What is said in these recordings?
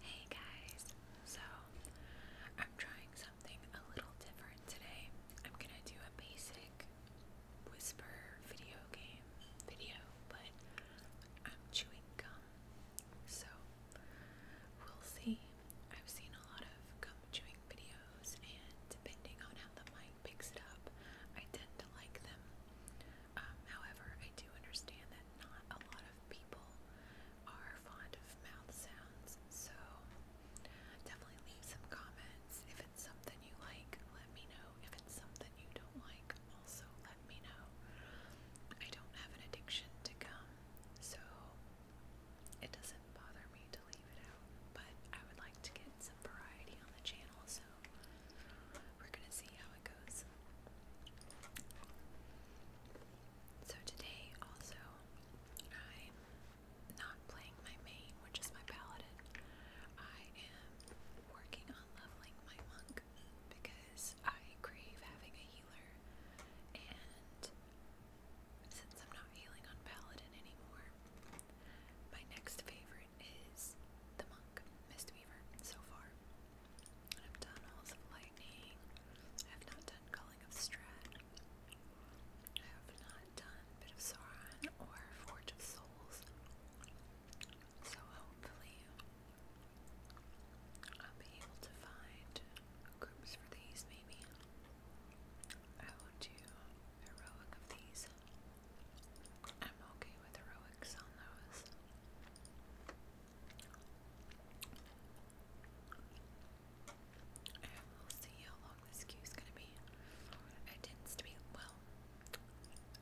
Hey guys, so I'm trying something a little different today. I'm gonna do a basic whisper video game video, but I'm chewing gum, so we'll see. I've seen a lot of gum chewing videos, and depending on how the mic picks it up, I tend to like them. Um, however, I do understand that not a lot of people are fond of mouth sounds, so definitely leave some comments. If it's something you like, let me know. If it's something you don't like, also let me know. I don't have an addiction to gum, so it doesn't bother me to leave it out, but I would like to get some variety on the channel, so we're gonna see how it goes. So today also I'm not playing my main, which is my paladin. I am working on leveling my monk because I crave having a healer and since I'm not healing on paladin anymore, my next favorite is The Monk, Mistweaver, so far. I've done Halls of Lightning. I have not done Culling of Strad. I have not done Bit of Sauron or Forge of Souls. So hopefully I'll be able to find groups for these maybe. I will do heroic of these. I'm okay with heroics on those. And we'll see how long this queue is going to be. It tends to be, well,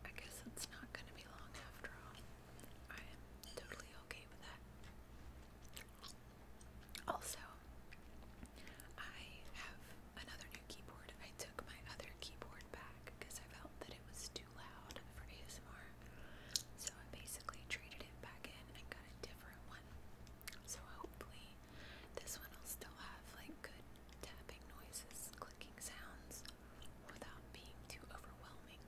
I guess it's not going to be long after all. I am totally okay with that. Also, I have another new keyboard. I took my other keyboard back because I felt that it was too loud for ASMR. So I basically traded it back in and got a different one. So hopefully this one will still have like good tapping noises, clicking sounds without being too overwhelming.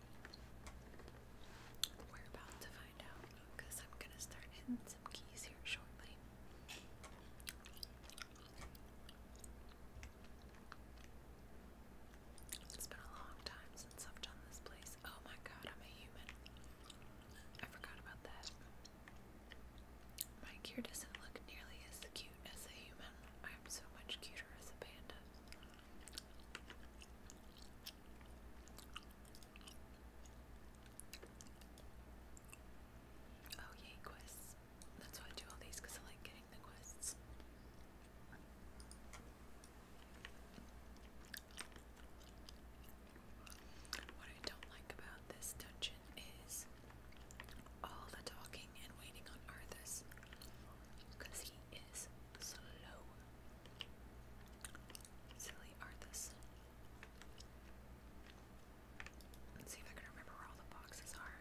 We're about to find out because I'm gonna start hitting some keys here shortly. It's been a long time since I've done this place. Oh my god, I'm a human. I forgot about that. My gear doesn't look nearly as cute as a human. I'm so much cuter as a panda. Oh yay, quests. That's why I do all these because I like getting the quests. What I don't like about this dungeon is all the talking and waiting on Arthas because he is slow. Silly Arthas. Let's see if I can remember where all the boxes are.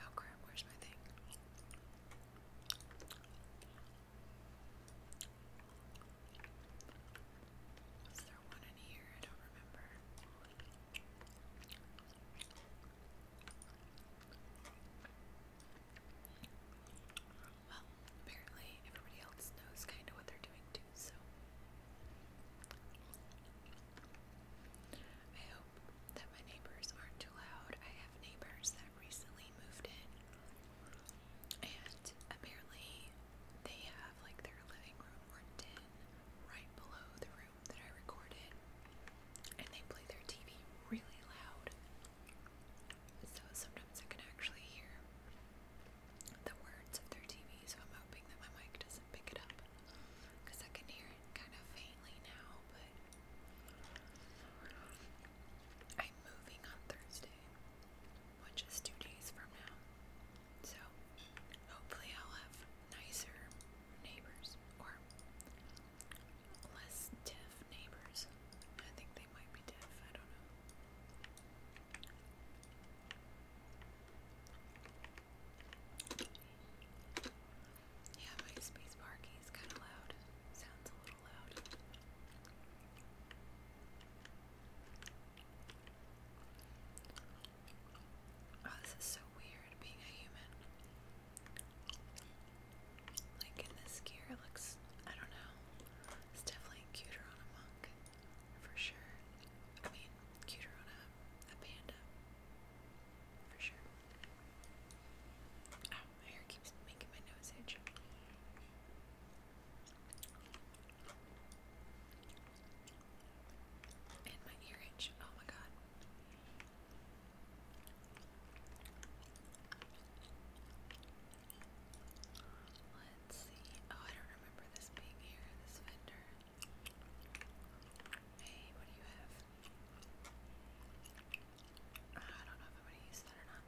Oh crap, where's my thing? Was there one in here? I don't remember. Well, apparently everybody else knows kind of what they're doing too, so. I hope that my neighbors aren't too loud. I have neighbors that recently moved in, and apparently they have like their living room worked in right below the room that I recorded and they play their TV really loud. So sometimes I can actually hear the words of their TV, so I'm hoping that my mic doesn't pick it up because I can hear it kind of faintly now, but I'm moving on Thursday, which is two days from now. So hopefully I'll have nicer neighbors or less deaf neighbors. I think they might be deaf, I don't know. Yeah, my spacebar key is kind of loud. Sounds a little loud. Oh, this is so weird being a human. Like in this gear, looks, I don't know, it's definitely cuter on a monk, for sure. I mean, cuter on a, panda, for sure. Oh, my hair keeps making my nose itch. And my ear itch, oh my god. Let's see. Oh, I don't remember this being here, this vendor. Hey, what do you have? Ah, I don't know if I'm going to use that or not.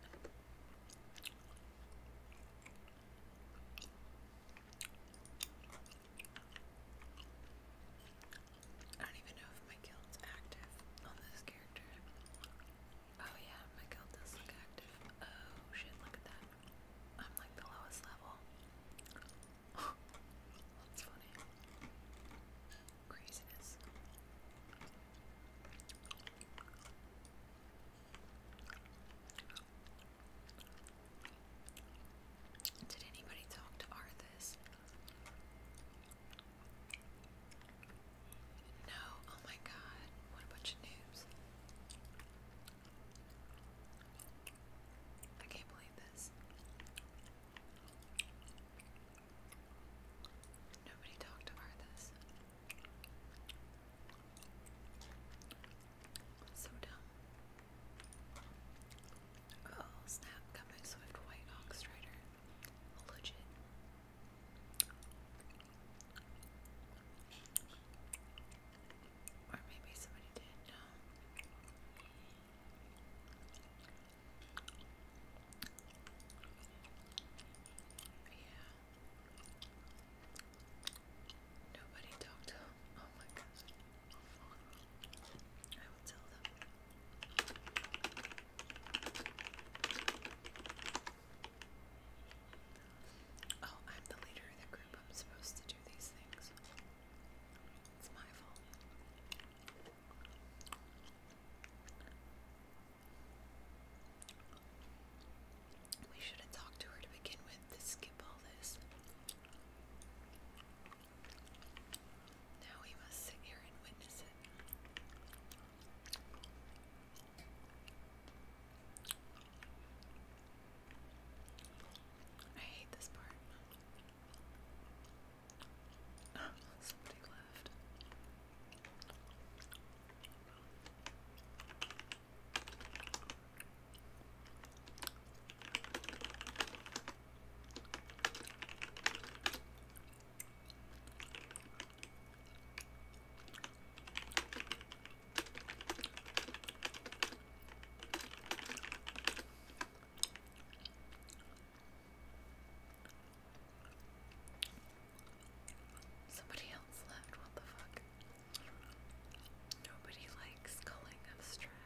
I don't even know if my guild's active on this character. Oh yeah, my guild does look active. Oh shit, look at that. I'm like the lowest level. That's funny. Craziness. Did anybody talk to Arthas? No, oh my god, what a bunch of noobs. I can't believe this. Nobody talked about this. So dumb. Oh snap, coming swift white ox rider. Legit. Or maybe somebody did, no. Yeah. Nobody talked to him. Oh my god. I Oh, I'm the leader of the group. I'm supposed to do these things. It's my fault. We should have talked to her to begin with to skip all this. Now we must sit here and witness it. I hate this part. Somebody left. Somebody else left, what the fuck? Nobody likes calling them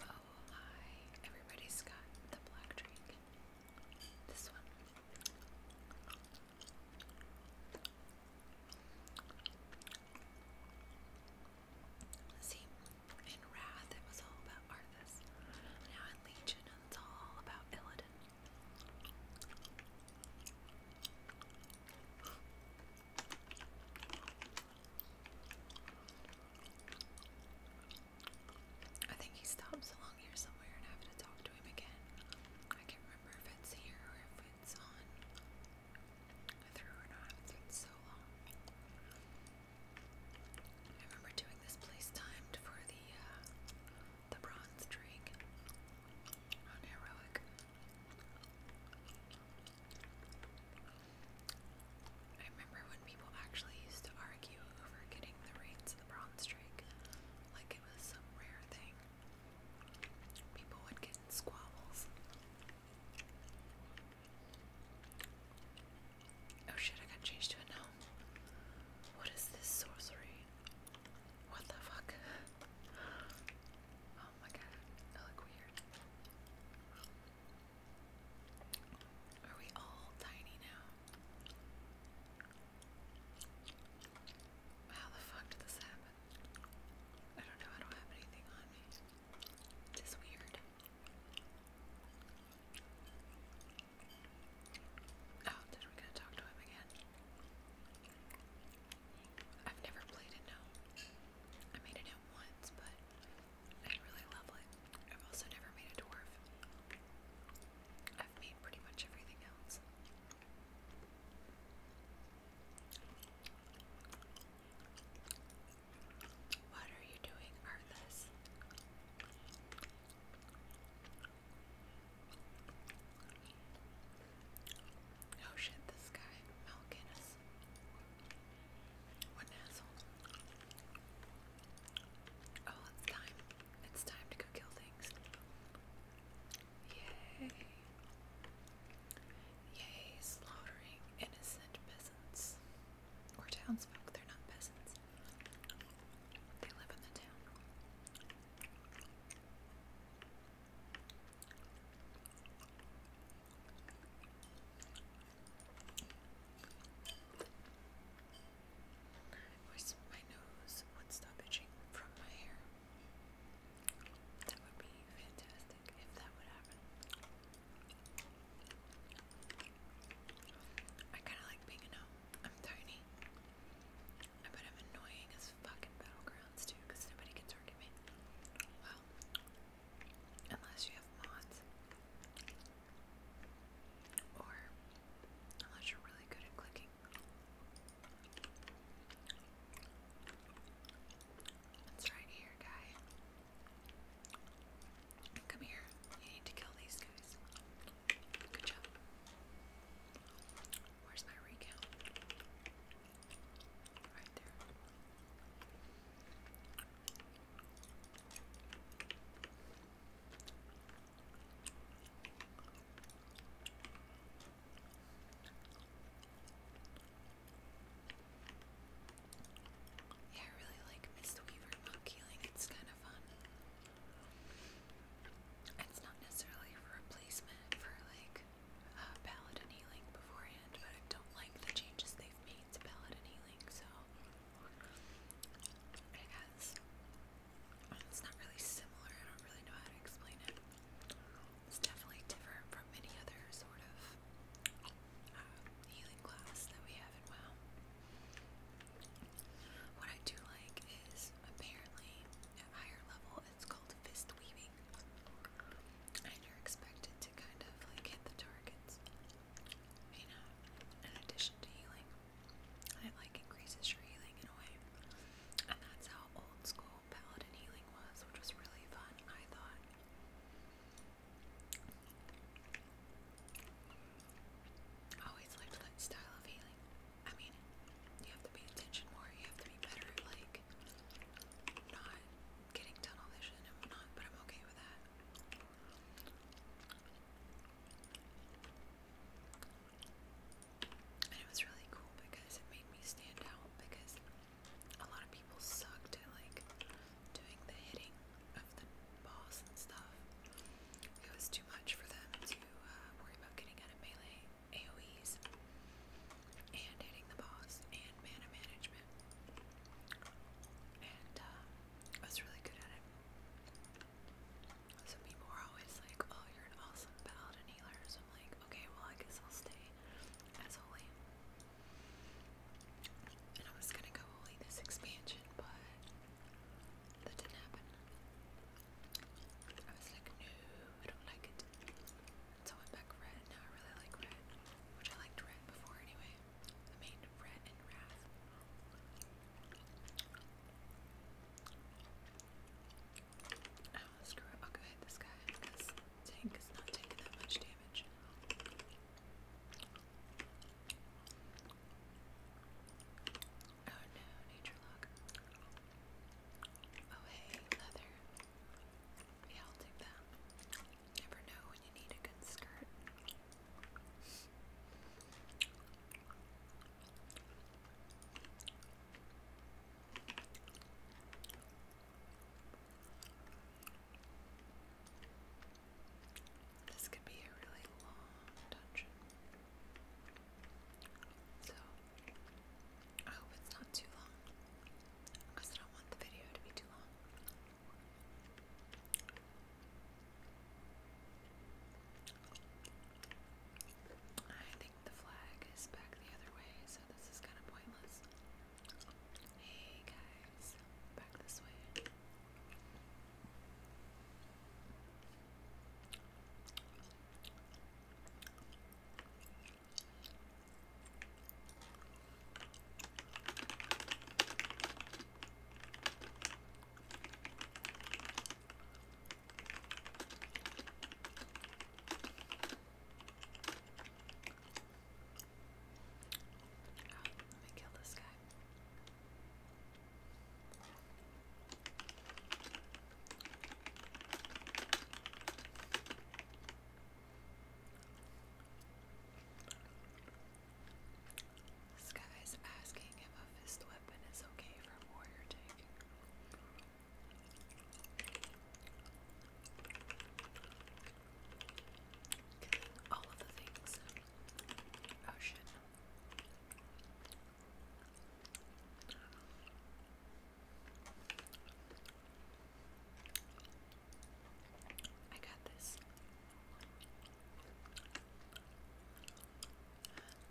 Oh my, everybody's got the black drink. This one. See, in Wrath it was all about Arthas. Now in Legion it's all about Illidan. I think he stops along here somewhere and I have to talk to him again. I can't remember if it's here or if it's on through or not. It's been so long. I remember doing this place timed for the uh, the bronze drink on heroic. I remember when people actually used to argue over getting the reins of the bronze streak, like it was some rare thing. People would get squabbles. Oh shit, I got changed to a gnome. What is this sorcery? What the fuck? Oh my god, I look weird. Are we all tiny now? How the fuck did this happen? I don't know, I don't have anything on me. It's weird. Oh, did we gonna talk to him again? I've never played it, no. I made it out once, but I really love it. I've also never made a dwarf. I've made pretty much everything else. What are you doing, Arthas? Oh shit, this guy, Malkin, is ass. What an Oh, it's time. It's time to go kill things. Yay. Yay, slaughtering innocent peasants. Or townsfolk, they're not peasants. They live in the town. I my nose would stop from my hair. That would be fantastic if that would happen. I kind of like being a gnome. I'm tiny. I bet I'm annoying as fucking battlegrounds too, nobody can target me. Well, Unless you have mods. Or unless you're really good at clicking. It's right here, guy. Come here. You need to kill these guys. Good job. Where's my recount? Right there. Yeah, I really like Mist Weaver Monkey, like it's kind of fun. It's not necessarily a replacement for like uh, healing beforehand, but I don't like the changes they gave me Healing, so I guess it's not really similar. I don't really know how to explain it. It's definitely different from any other sort of um, healing class that we have in What I do like is apparently at higher level it's called fist weaving. I never expected to kind of like hit the targets. You know, in addition to healing, it like increases your healing in a way. And that's how old school paladin healing was, which was really fun, I thought. I always liked that style of healing. I mean, you have to pay attention more, you have to be better like not getting tunnel vision and whatnot, but I'm okay with that. And it was really cool because it made me stand out because a lot of people sucked at like doing the hitting of the balls and stuff. It was too much for them to uh, worry about getting out of melee AoEs and hitting the boss and mana management. And uh, I was really good at it. So people were always like, oh, you're an awesome paladin healer. So I'm like, okay, well, I guess I'll stay as holy. And I was gonna go holy this expansion, but that didn't happen. I was like, no, I don't like it. So I went back red. Now I really like red, which I liked red before anyway. I made red and wrath. Oh, screw it. I'll go hit this guy because Tank is not taking that much damage. Oh no, nature lock. Oh hey, leather. Yeah, I'll take that. Never know when you need a good skirt. This could be a really long dungeon. So I hope it's not too long because I don't want the video to be too long. I think the flag is back the other way, so this is kind of pointless. Hey guys, back this way. Let me kill this guy. This guy's asking if a fist weapon is okay for warrior tank. Killing all of the things. Oh shit. I got this.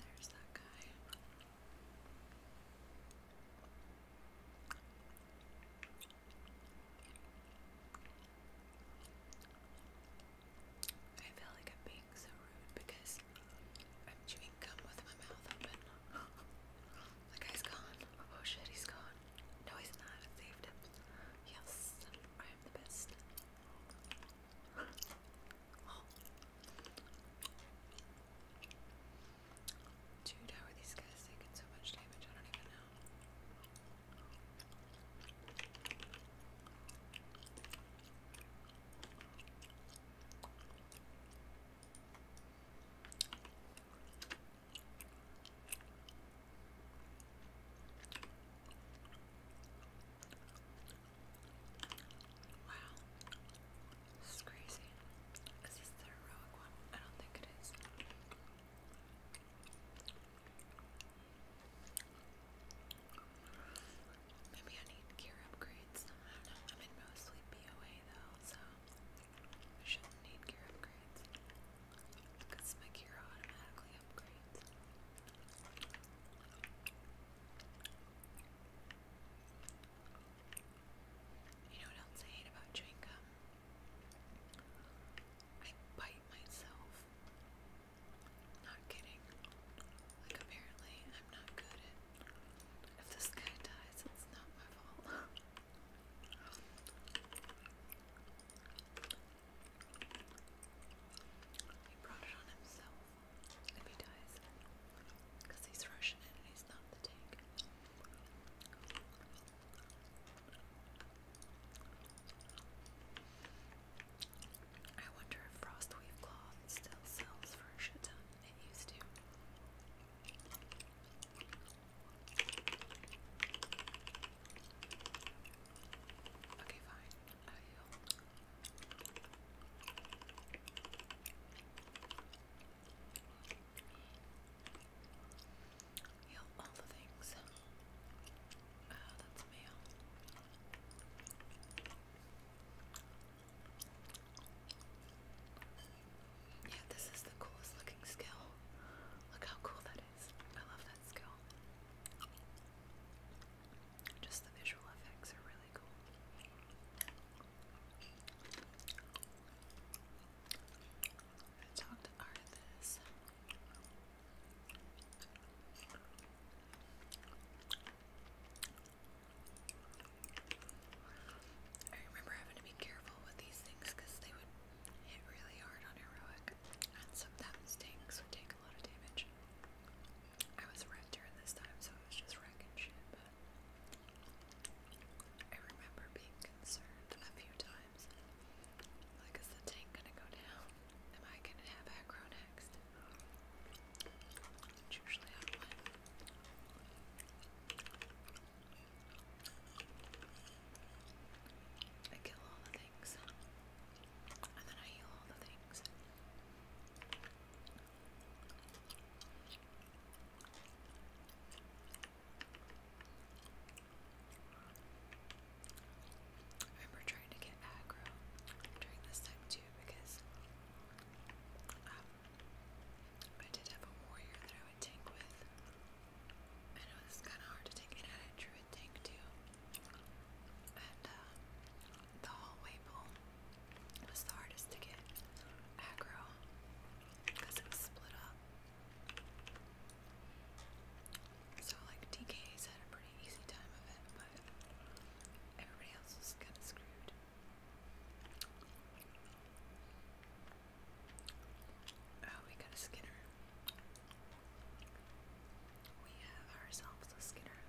there's that guy. I feel like I'm being so rude because I'm chewing gum with my mouth open. The guy's gone. Oh shit, he's gone. No, he's not. I saved him. Yes, I am the best. Dude, how are these guys taking so much damage? I don't even know. Wow. This is crazy. Is this the heroic one? I don't think it is. Maybe I need gear upgrades. I am mostly BOA though, so I shouldn't need gear upgrades because my gear automatically upgrades. You know what else I hate about chewing I bite myself. Not kidding. Like apparently I'm not good at if this guy dies, it's not my fault. He brought it on himself if he dies. Because he's Russian and he's not the tank. I wonder if Frostweave cloth still sells for a shit ton. It used to. Okay, fine. I will. Heal all the things. Oh, that's a male. Yeah, this is the coolest looking skill. Look how cool that is. I love that skill. Just the visual effects are really cool. I talked to I remember having to be careful with these things because they would hit really hard on heroic, sometimes tanks would take a lot of damage. I was wrecked during this time, so I was just wrecking shit, but I remember being concerned a few times. Like, is the tank gonna go down? Am I gonna have aggro next? usually how it went. I kill all the things. And then I heal all the things. I remember trying to get aggro during this time too because um, I did have a warrior that I would tank with. I know this is kind of hard to take it out. I drew a tank too. And uh, the hallway pull was the hardest to get aggro because it was split up. So, like, DK's had a pretty easy time of it, but everybody else was kind of screwed. Oh, we got a Skinner. We have ourselves a Skinner.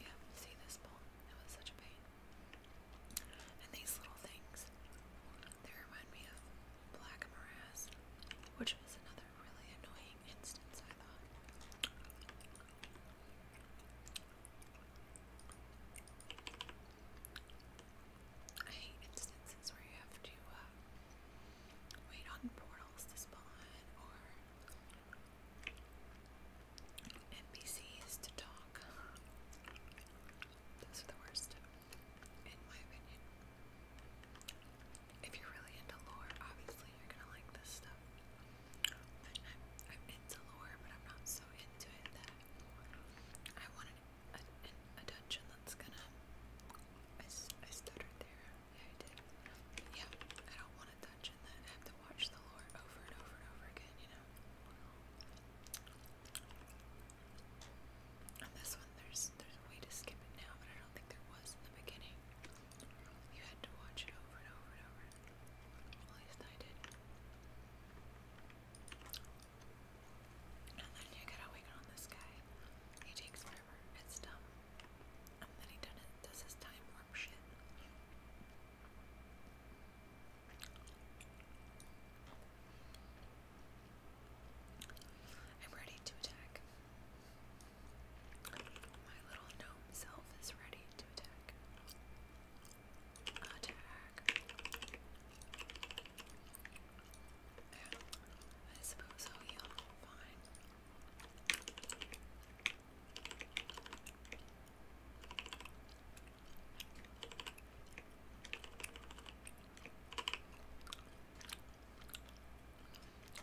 Yeah, see this bowl? That was such a pain. And these little things, they remind me of black morass, which is another really annoying instance, I thought. I hate instances where you have to uh, wait on portals to spawn or NPCs to talk. Those are the worst, in my opinion. If you're really into lore, obviously you're gonna like this stuff. I'm, into lore, but I'm not so into it that I wanted a, a dungeon that's gonna. I, I stuttered there. Yeah, I did. yeah, I don't want a dungeon that I have to watch the lore over and over and over again, you know? On this one, there's there's a way to skip it now, I think there was in the beginning. You had to watch it over and over and over. At least I did. And then you gotta on this guy. He takes forever. It's dumb. And then he done it, does his time warp shit. I'm ready to attack. My little gnome self is ready to attack. Attack. Yeah, I suppose I'll heal. Fine.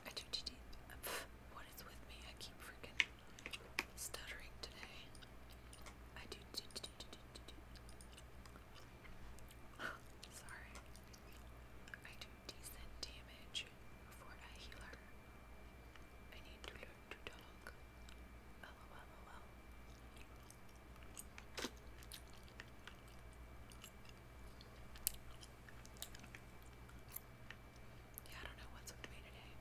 I do TT. What is with me? I keep freaking stuttering today. I do Sorry. I do decent damage for a healer. I need to learn to talk. LOL. Yeah, I don't know what's up to me today.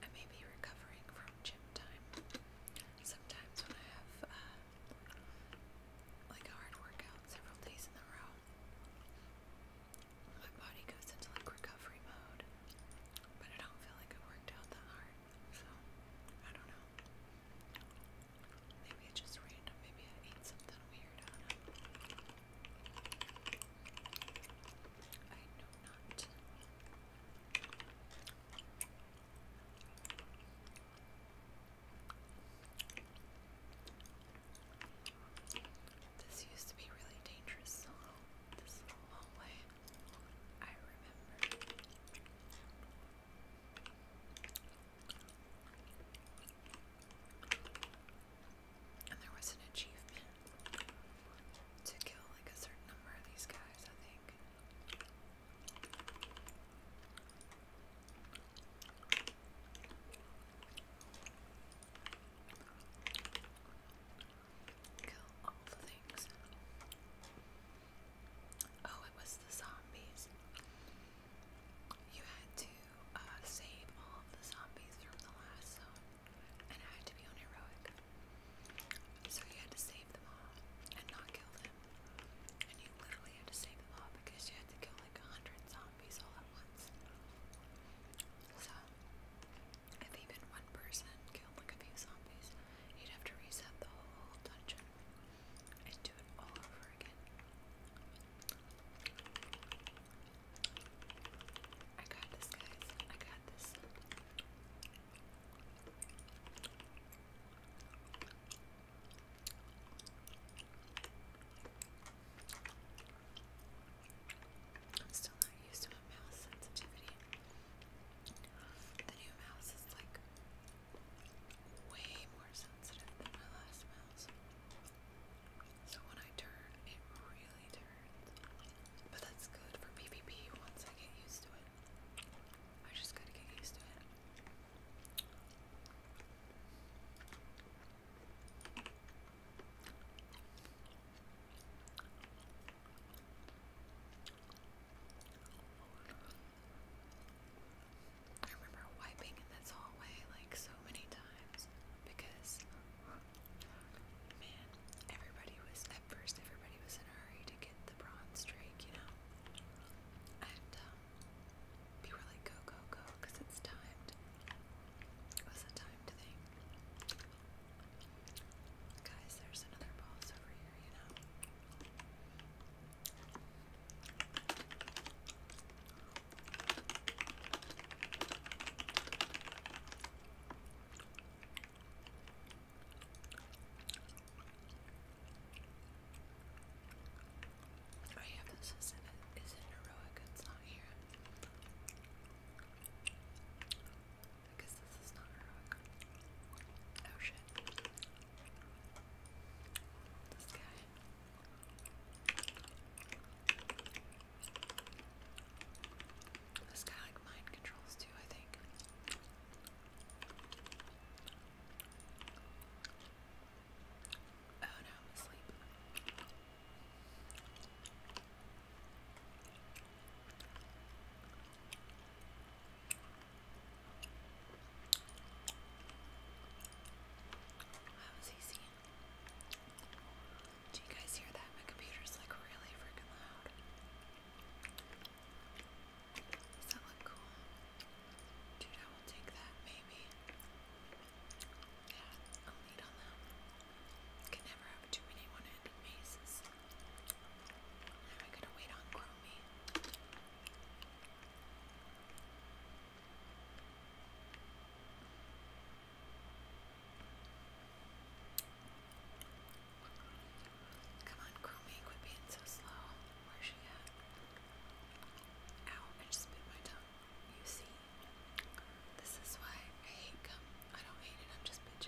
I may be recovering from gym time. Sometimes when I have uh, like a hard workout several days in a row, my body goes into like recovery mode. But I don't feel like I worked out that hard. So, I don't know. Maybe it's just random. Maybe I ate something weird I know not. This used to be really dangerous. long way. I remember. And there was an achievement to kill like a certain number of these guys, I think. Kill all the things. Oh, it was the zombies. You had to uh, save all the zombies from the last zone, and I had to be on heroic. So you had to save them all and not kill them. And you literally had to save them all because you had to kill like a hundred zombies all at once. So, if even one person killed like a few zombies, You'd have to reset the whole dungeon and do it all over again. I got this, guys. I got this. I'm still not used to my mouse sensitivity. The new mouse is like way more sensitive than my last mouse. So when I turn, it really turns. But that's good for PvP once I get used to it. I just gotta get used to it. I remember wiping in this hallway like so many times because man, everybody was at first everybody was in a hurry to get the bronze streak, you know. And um, we were like go go go because it's timed. It was timed thing. Guys, there's another boss over here, you know. Oh yeah, this isn't isn't heroic, it's not here. Because Oh shit. This guy. This guy like mind controls too, I think. Oh no, asleep. That was easy. Do you guys hear that? My computer's like really freaking loud. Does that look cool? Dude, I will take that, maybe. Yeah, I'll lead on that. Can never have too many one mazes. Now I gotta wait on Chromie. Come on, Chromie, quit being so slow. Where's she at? Ow, I just bit my tongue. You see? This is why I hate gum. I don't hate it, I'm just bitching.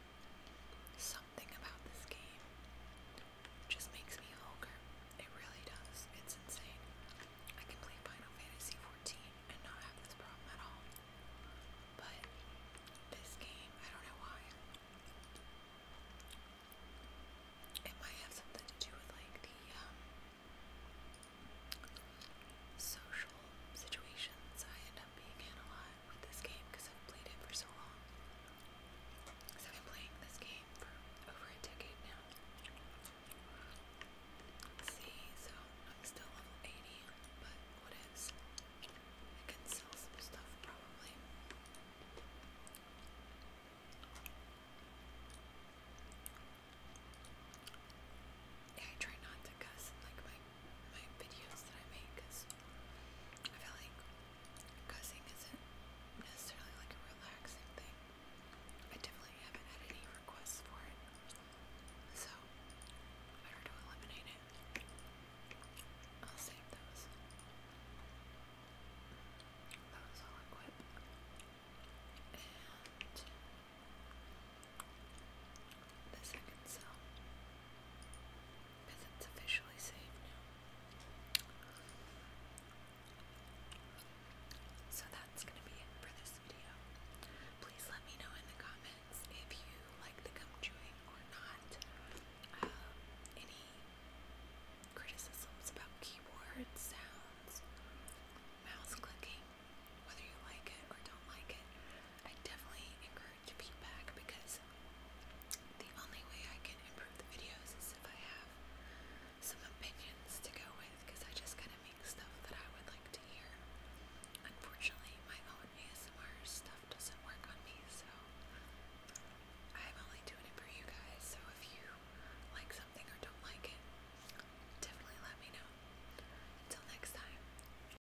game. Something about this game just makes me hunger. It really does. It's insane. I can play Final Fantasy XIV and not have this problem at all. But this game, I don't know why. It might have something to do with like the um, social situations I end up being in a lot with this game because I've played it for so long. So I've been playing this game for over a decade now. see, so I'm still level 80, but what is? I can sell some stuff probably. Yeah, I try not to cuss like my videos that I make because I feel like cussing isn't necessarily like a relaxing thing. I definitely haven't had any requests for it, so I better to eliminate it. I'll save those. That was all equipped. And the So that's gonna be it for this video. Please let me know in the comments if you like the gum or not. Um, any criticisms about keyboard sounds, mouse clicking, whether you like it or don't like it. I definitely encourage feedback because the only way I can improve the videos is if I have some opinions to go with because I just kind of make stuff that I would like to hear. Unfortunately, my own ASMR stuff doesn't work on me, so I'm only doing it for you guys. So if you like something or don't like it, definitely let me know. Until next time.